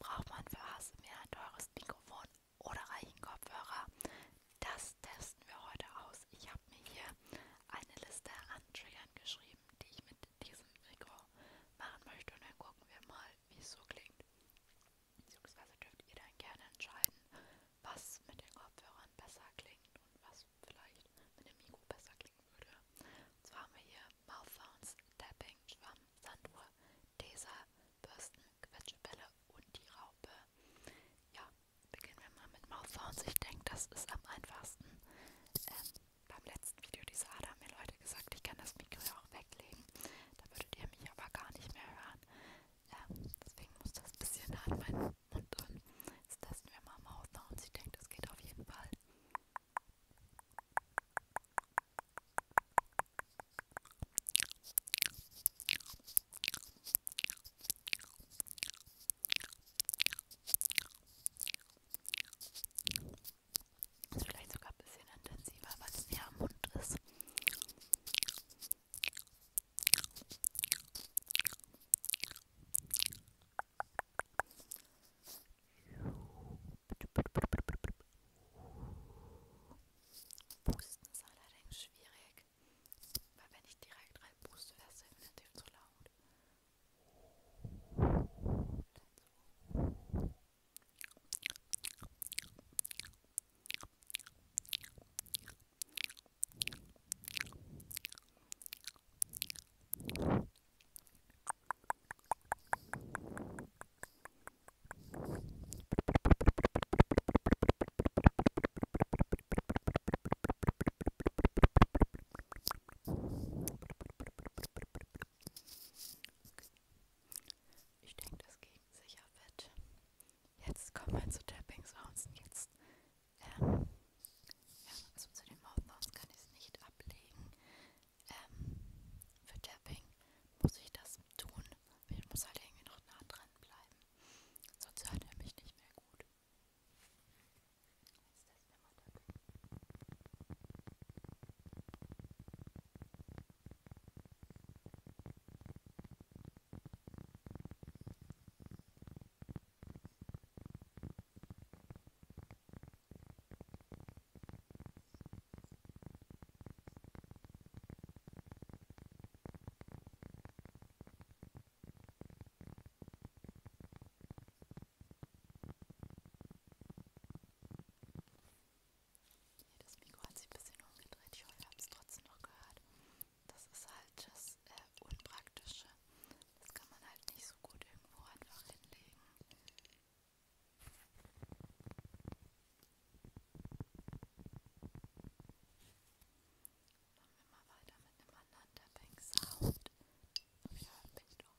Braucht man für ASMR ein teures Mikrofon oder reichen Kopfhörer? Das testen wir heute aus. Ich habe mir hier eine Liste an Triggern geschrieben, die ich mit diesem Mikro machen möchte. Und dann gucken wir mal, wie es so klingt. Beziehungsweise dürft ihr dann gerne entscheiden, was mit den Kopfhörern besser klingt und was vielleicht mit dem Mikro besser klingen würde. Und zwar haben wir hier Mouthphones Tapping, Schwamm, Sanduhr, Tesa, Bürsten, Quetschbälle und die Raupe. Ja, beginnen wir mal mit Mouth Sounds. Ich denke, das ist am einfachsten. Ähm, beim letzten Video dieser Ada haben mir Leute gesagt, ich kann das Mikro ja auch weglegen. Da würdet ihr mich aber gar nicht mehr hören. Ähm, deswegen muss das ein bisschen an meinen Mund drin. Jetzt testen wir mal Mouth Sounds. Ich denke, das geht auf jeden Fall. Ist vielleicht sogar ein bisschen intensiver, weil es näher am Mund ist. Pusten ist allerdings schwierig, weil wenn ich direkt rein puste, wäre es definitiv zu laut. Ich denke, das ging sicher fit. Jetzt kommen wir zu Tapping Sounds. Jetzt ähm, ja, also zu den Mouthnotes kann ich es nicht ablegen. Ähm, für Tapping muss ich das tun. Ich muss halt irgendwie noch nah dran bleiben. Sonst hört er mich nicht mehr gut. Jetzt testen wir mal Tapping das Mikro hat sich ein bisschen umgedreht. Ich hoffe, ihr habt es trotzdem noch gehört. Das ist halt das äh, Unpraktische das kann man halt nicht so gut irgendwo einfach hinlegen. Machen wir mal weiter mit einem anderen Tapping-Sound. Ja, bin ich doch.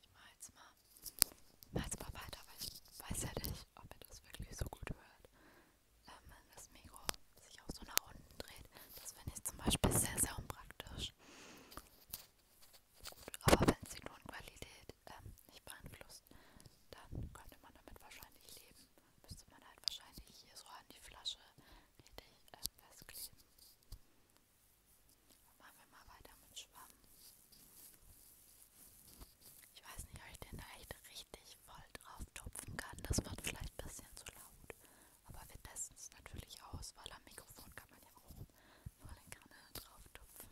Ich mache jetzt mal, mach jetzt mal weiter, weil ich weiß ja nicht, ob ihr das wirklich so gut hört. Ähm, wenn das Mikro sich auch so nach unten dreht, das finde ich zum Beispiel sehr, sehr unpraktisch. Gut, aber wenn es die Tonqualität ähm, nicht beeinflusst, dann könnte man damit wahrscheinlich leben. Müsste man halt wahrscheinlich hier so an die Flasche richtig äh, festkleben. Machen wir mal weiter mit Schwamm. Ich weiß nicht, ob ich den da echt richtig voll drauf tupfen kann. Das wird vielleicht ein bisschen zu laut. Aber wir testen es natürlich aus, weil am Mikrofon kann man ja auch nur den Kanal drauf tupfen.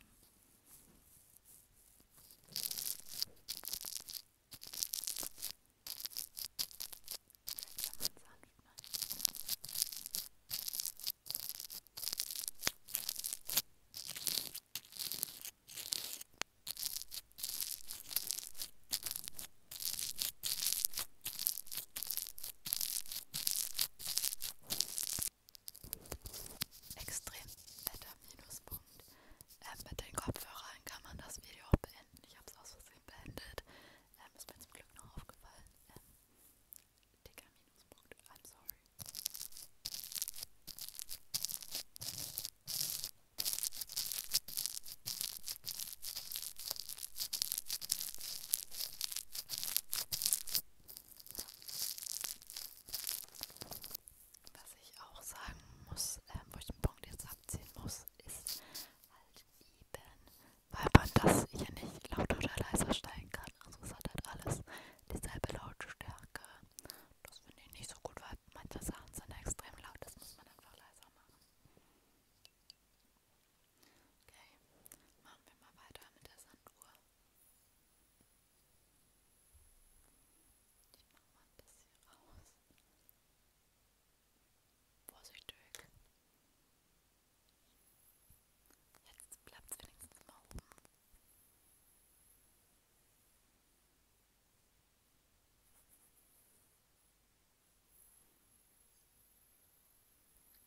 Vielleicht kann man sanft machen. Extrem netter Minuspunkt. Ähm, mit den Kopfhörern kann man das Video auch beenden. Ich habe es aus Versehen beendet. Ähm, ist mir zum Glück noch aufgefallen. Ähm, Dicker Minuspunkt. I'm sorry. Was ich auch sagen muss, ähm, wo ich den Punkt jetzt abziehen muss, ist halt eben, weil man das hier nicht lauter oder leiser stellen kann. Also es hat halt alles dieselbe Lautstärke. Das finde ich nicht so gut, weil manche Sachen sind extrem laut, das muss man einfach leiser machen. Okay, machen wir mal weiter mit der Sanduhr. Ich mache mal das hier raus. Vorsichtig. Jetzt bleibt es wenigstens mal oben.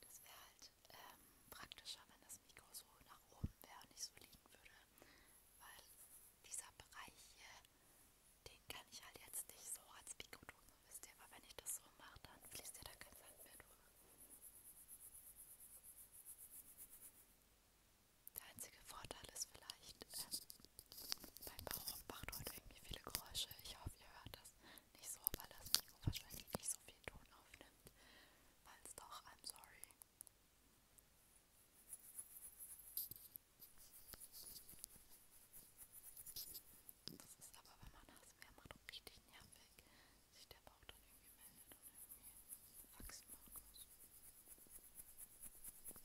Das wäre halt ähm, praktischer, wenn das Mikro so nach oben wäre und nicht so liegen würde, weil dieser Bereich hier, den kann ich halt jetzt nicht so als Mikro tun. Wisst ihr aber, wenn ich das so mache, dann fließt ja da kein Sand mehr durch. Der einzige Vorteil ist vielleicht, ähm, mein Baum macht heute irgendwie viele Geräusche. Ich hoffe, ihr hört das nicht so, weil das Mikro wahrscheinlich nicht so viel Ton aufnimmt. Weil es doch, I'm sorry. Das ist aber, wenn man ASMR macht, richtig nervig, sich der Bauch dann irgendwie meldet und irgendwie Faxen machen muss. Hm.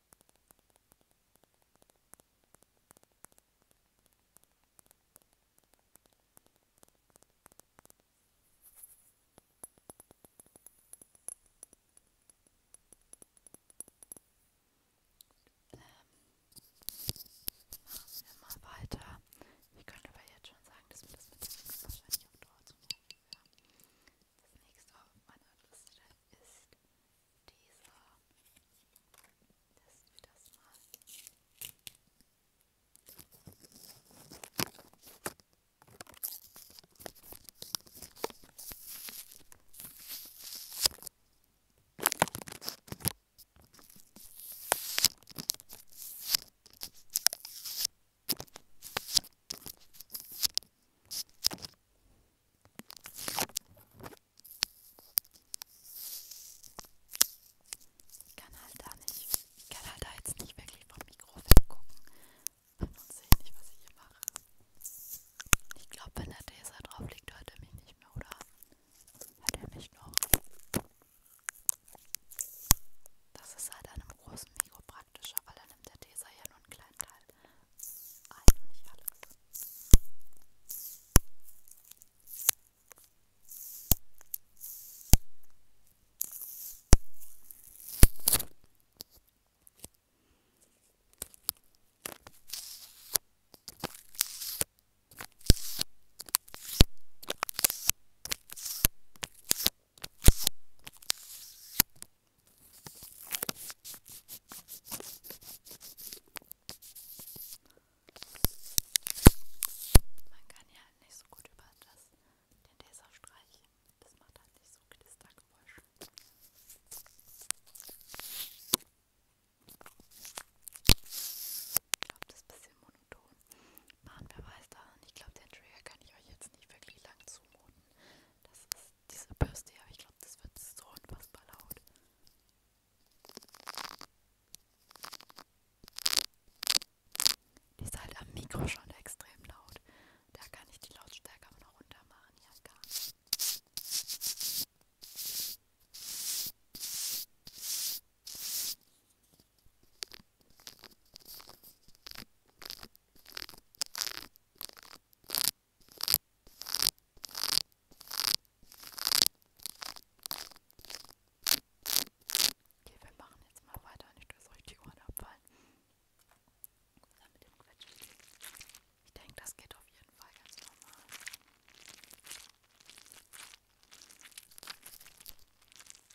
Machen ähm, wir mal weiter. Ich könnte aber jetzt schon sagen, dass mir das mit dem Mix wahrscheinlich auf Dauer zu nervig wäre. Das nächste auf meiner Liste ist dieser. Testen wir das mal. Hm. Ich kann halt da nicht, ich kann halt da jetzt nicht wirklich vom Mikro weggucken und sehe nicht, was ich hier mache. Ich glaube, wenn der Tesa drauf liegt, hört er mich nicht mehr, oder? Hört er mich noch? Das ist halt an einem großen Mikro praktischer, weil dann nimmt der Teser ja nur einen kleinen Teil ein und nicht alles. Man kann ja halt nicht so gut über das, den Laser streichen. Das macht halt nicht so Knistergeräusche. Ich glaube, das ist ein bisschen monoton. Mahnbeweis da und ich glaube, den Trigger kann ich euch jetzt nicht wirklich lang zumuten. Das ist diese Bürste, aber ich glaube, das wird so unfassbar laut. Die ist halt am Mikro schon extrem laut. Da kann ich die Lautstärke aber noch runter machen. Ja, gar nicht. Okay, wir machen jetzt mal weiter, nicht dass euch die Ohren abfallen. Mit dem Quetsch. Ich denke, das geht auf jeden Fall ganz normal.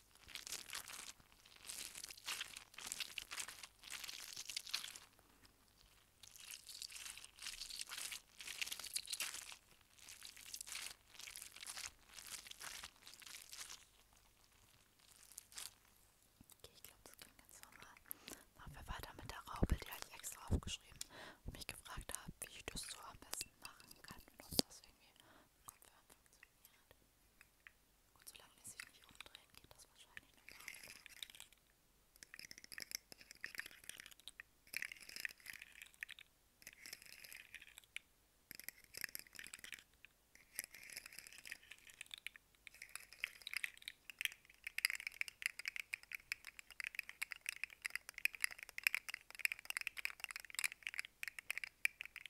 Okay, ich glaube, das klingt ganz normal. Machen wir weiter mit der Raube, die habe ich extra aufgeschrieben und mich gefragt habe, wie ich das so am besten machen kann und ob das irgendwie konform funktioniert. Gut, solange es sich nicht umdreht, geht das wahrscheinlich noch gar nicht.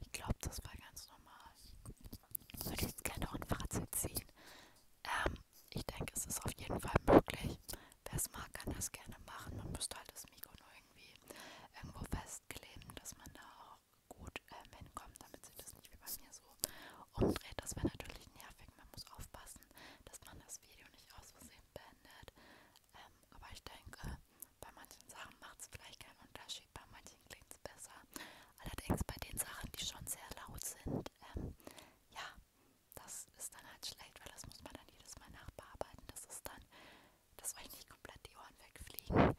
Ich glaube, das war ganz normal. Ich würde jetzt gerne noch ein Fazit ziehen. Ähm, ich denke, es ist auf jeden Fall möglich. Wer es mag, kann das gerne machen. Man müsste halt das Mikro nur irgendwie irgendwo festklemmen, dass man da auch gut gut ähm, hinkommt, damit sich das nicht wie bei mir so umdreht. Das wäre natürlich nervig. Man muss aufpassen, dass man das Video nicht aus Versehen beendet. Ähm, aber ich denke, bei manchen Sachen macht es vielleicht keinen Unterschied, bei manchen klingt es besser. Allerdings bei den Sachen, die schon sehr laut sind, ähm, ja, das ist dann halt schlecht, weil das muss man dann jedes Mal nachbearbeiten. Das ist dann, dass euch nicht komplett die Ohren wegfliegen.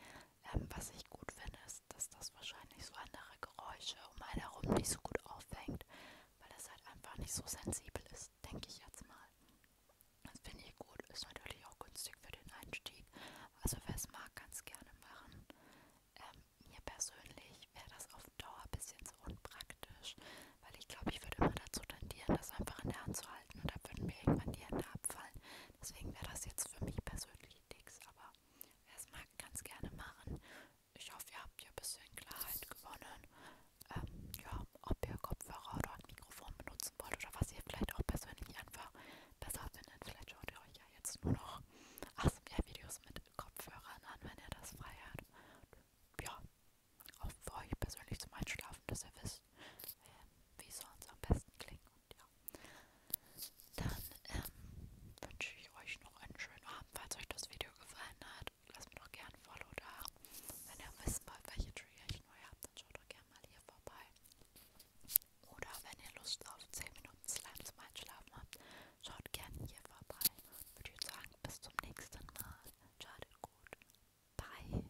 Ähm, was ich gut finde, ist, dass das wahrscheinlich so andere Geräusche um einen herum nicht so gut auffängt, weil das halt einfach nicht so sensibel ist, denke ich jetzt mal. Das finde ich gut, ist natürlich auch günstig für den Einstieg. Also wer es mag, kann es gerne machen. Ähm, mir persönlich wäre das auf Dauer ein bisschen so unpraktisch, weil ich glaube, ich würde immer dazu tendieren, das einfach in der Hand zu halten und da würden mir irgendwann die Hände abfallen. Deswegen wäre das jetzt für mich persönlich nichts, aber wer es mag, kann es gerne machen. Ich hoffe, ihr habt ja ein bisschen Klarheit gewonnen. Ähm, ja, ob ihr Kopfhörer oder ein Mikrofon benutzen wollt oder was ihr vielleicht auch persönlich einfach besser findet. Vielleicht schaut ihr euch ja jetzt nur noch ASMR-Videos mit Kopfhörern an, wenn ihr das frei habt. Ja, auch für euch persönlich zum Einschlafen, dass ihr wisst, äh, wie soll es am besten klingen. Und ja, dann ähm, wünsche ich euch noch einen schönen Abend. Falls euch das Video gefallen hat, lasst mir doch gerne ein Follow da. Wenn ihr wissen wollt, welche Trigger ich neu habe, dann schaut doch gerne mal hier vorbei. Oder wenn ihr Lust auf 10 Minuten Slime zum Einschlafen habt, schaut gerne hier vorbei. Würde ich sagen, bis zum nächsten Mal. Schadet gut. Bye.